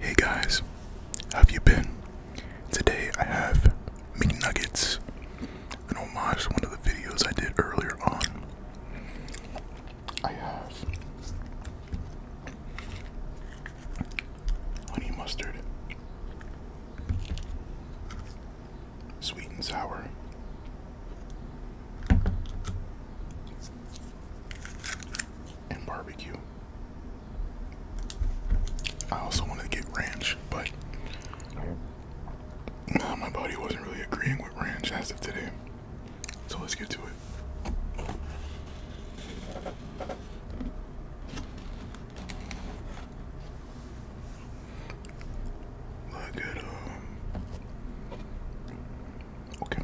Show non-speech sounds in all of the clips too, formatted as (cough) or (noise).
Hey guys, how have you been? Today I have nuggets, an homage to one of the videos I did earlier on. honey mustard, sweet and sour, and barbecue. I also wanted to get ranch, but my body wasn't really agreeing with ranch as of today. So let's get to it. Look at um Okay.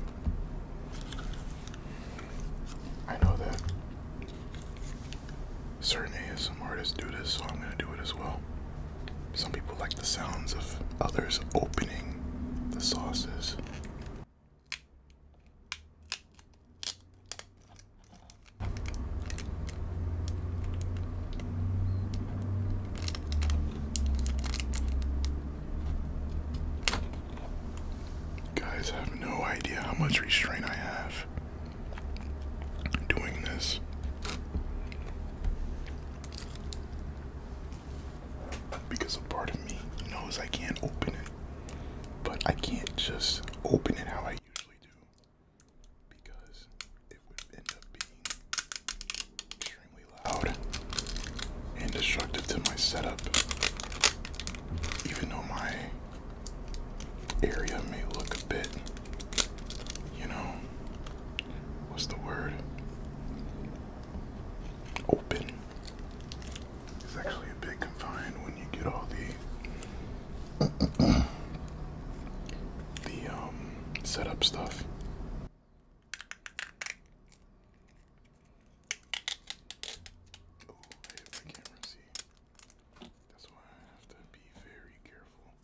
I know that certain ASM artists do this, so I'm gonna do it as well. Some people like the sounds of others opening the sauces. You guys have no idea how much restraint I have doing this. Because a part of me knows I can't open it, but I can't just open it how I usually do because it would end up being extremely loud and destructive to my setup even though my area may look a bit, you know, what's the word? Open. It's actually a bit confined when you get all the the um, setup stuff. Oh, I hit my camera, see? That's why I have to be very careful.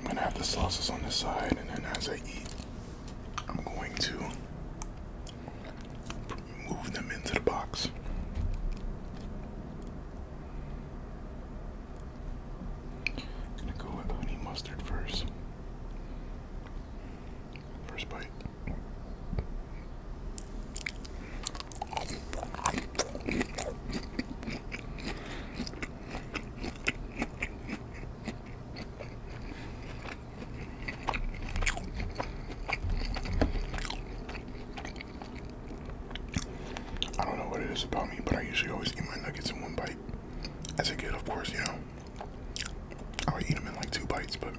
I'm gonna have the sauces on the side, and then as I eat, I'm going to move them into the box. I'm gonna go with honey mustard first. First bite. I don't know what it is about me, but I usually always eat my nuggets in one bite. As a kid, of course, you know, I would eat them in like two bites, but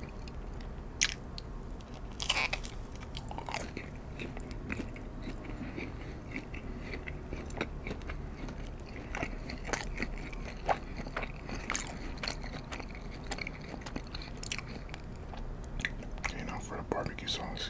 you know, for the barbecue sauce.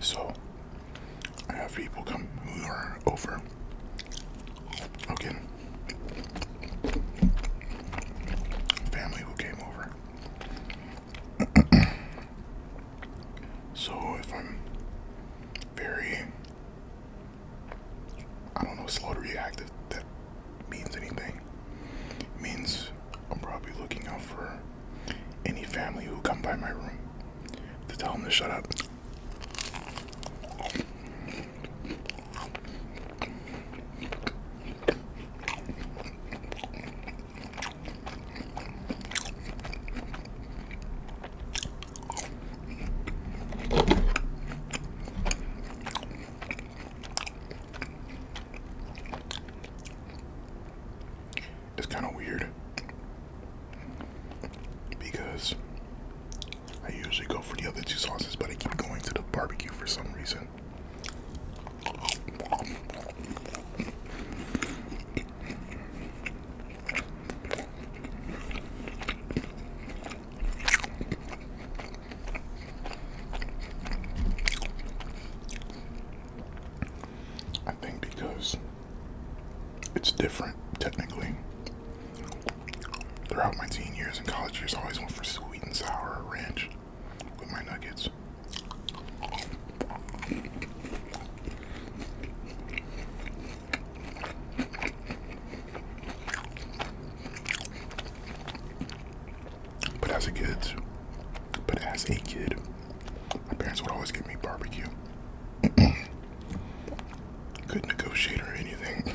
So, I have people come who are over. Okay. Family who came over. (clears throat) so if I'm very, I don't know, slow to react, that means anything, means I'm probably looking out for any family who come by my room to tell them to shut up. It's kind of weird because I usually go for the other two sauces, but I keep going to the barbecue for some reason. I think because it's different technically. Throughout my teen years and college years, I always went for sweet and sour ranch with my nuggets. But as a kid, but as a kid, my parents would always give me barbecue. Couldn't (clears throat) negotiate or anything. (laughs)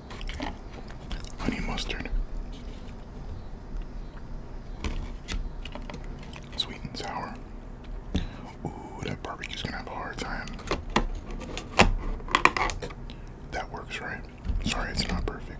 honey mustard, sweet and sour. Ooh, that barbecue's gonna have a hard time. That works, right? Sorry, it's not perfect.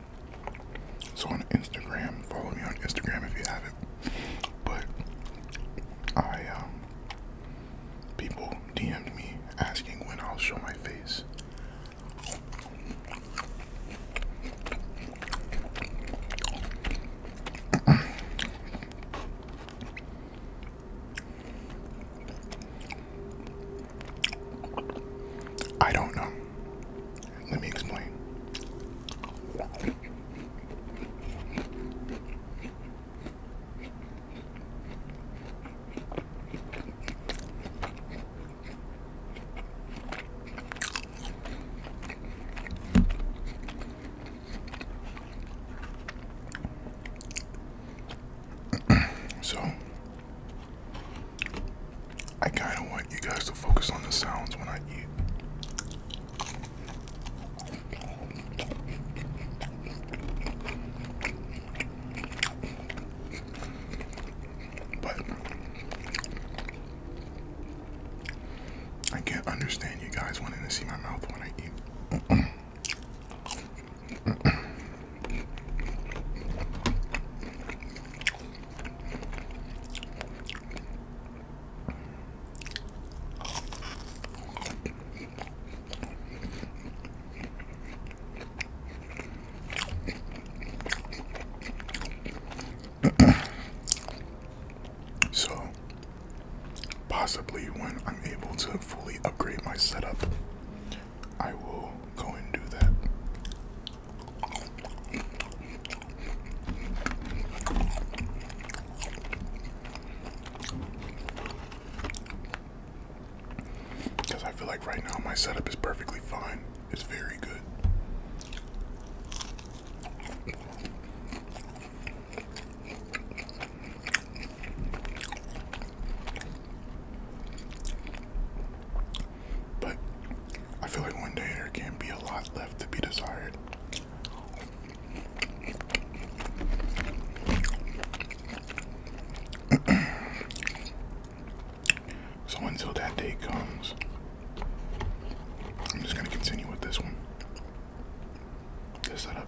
So on Instagram, follow me on Instagram if you have it. But I, um, people DM'd me asking when I'll show my face. (clears throat) I don't know. Let me explain. (clears throat) so I kind of want you guys to focus on the sounds when I eat. But I can't understand you guys wanting to see my mouth when I eat. (clears throat) so, possibly when I'm able to fully upgrade my setup, I will go and do that. Because I feel like right now my setup is perfectly fine. It's very good. But I feel like one day there can be a lot left to be desired. (clears throat) so until that day comes, I'm just gonna continue with this one. This setup.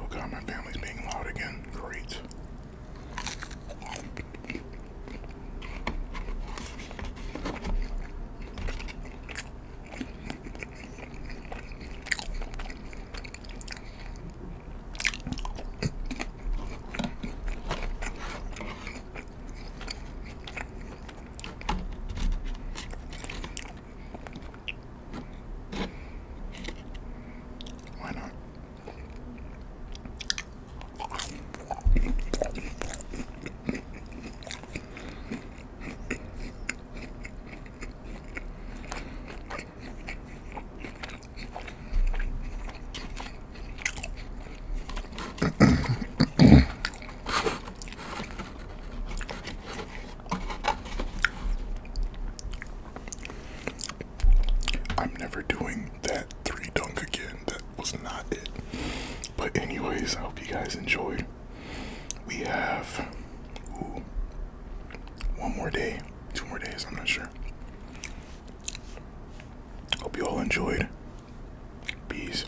Oh god, my family's being loud again. Great. Why not? I'm never doing that three dunk again. That was not it. But, anyways, I hope you guys enjoyed. We have one more day, two more days, I'm not sure. Hope you all enjoyed. Peace.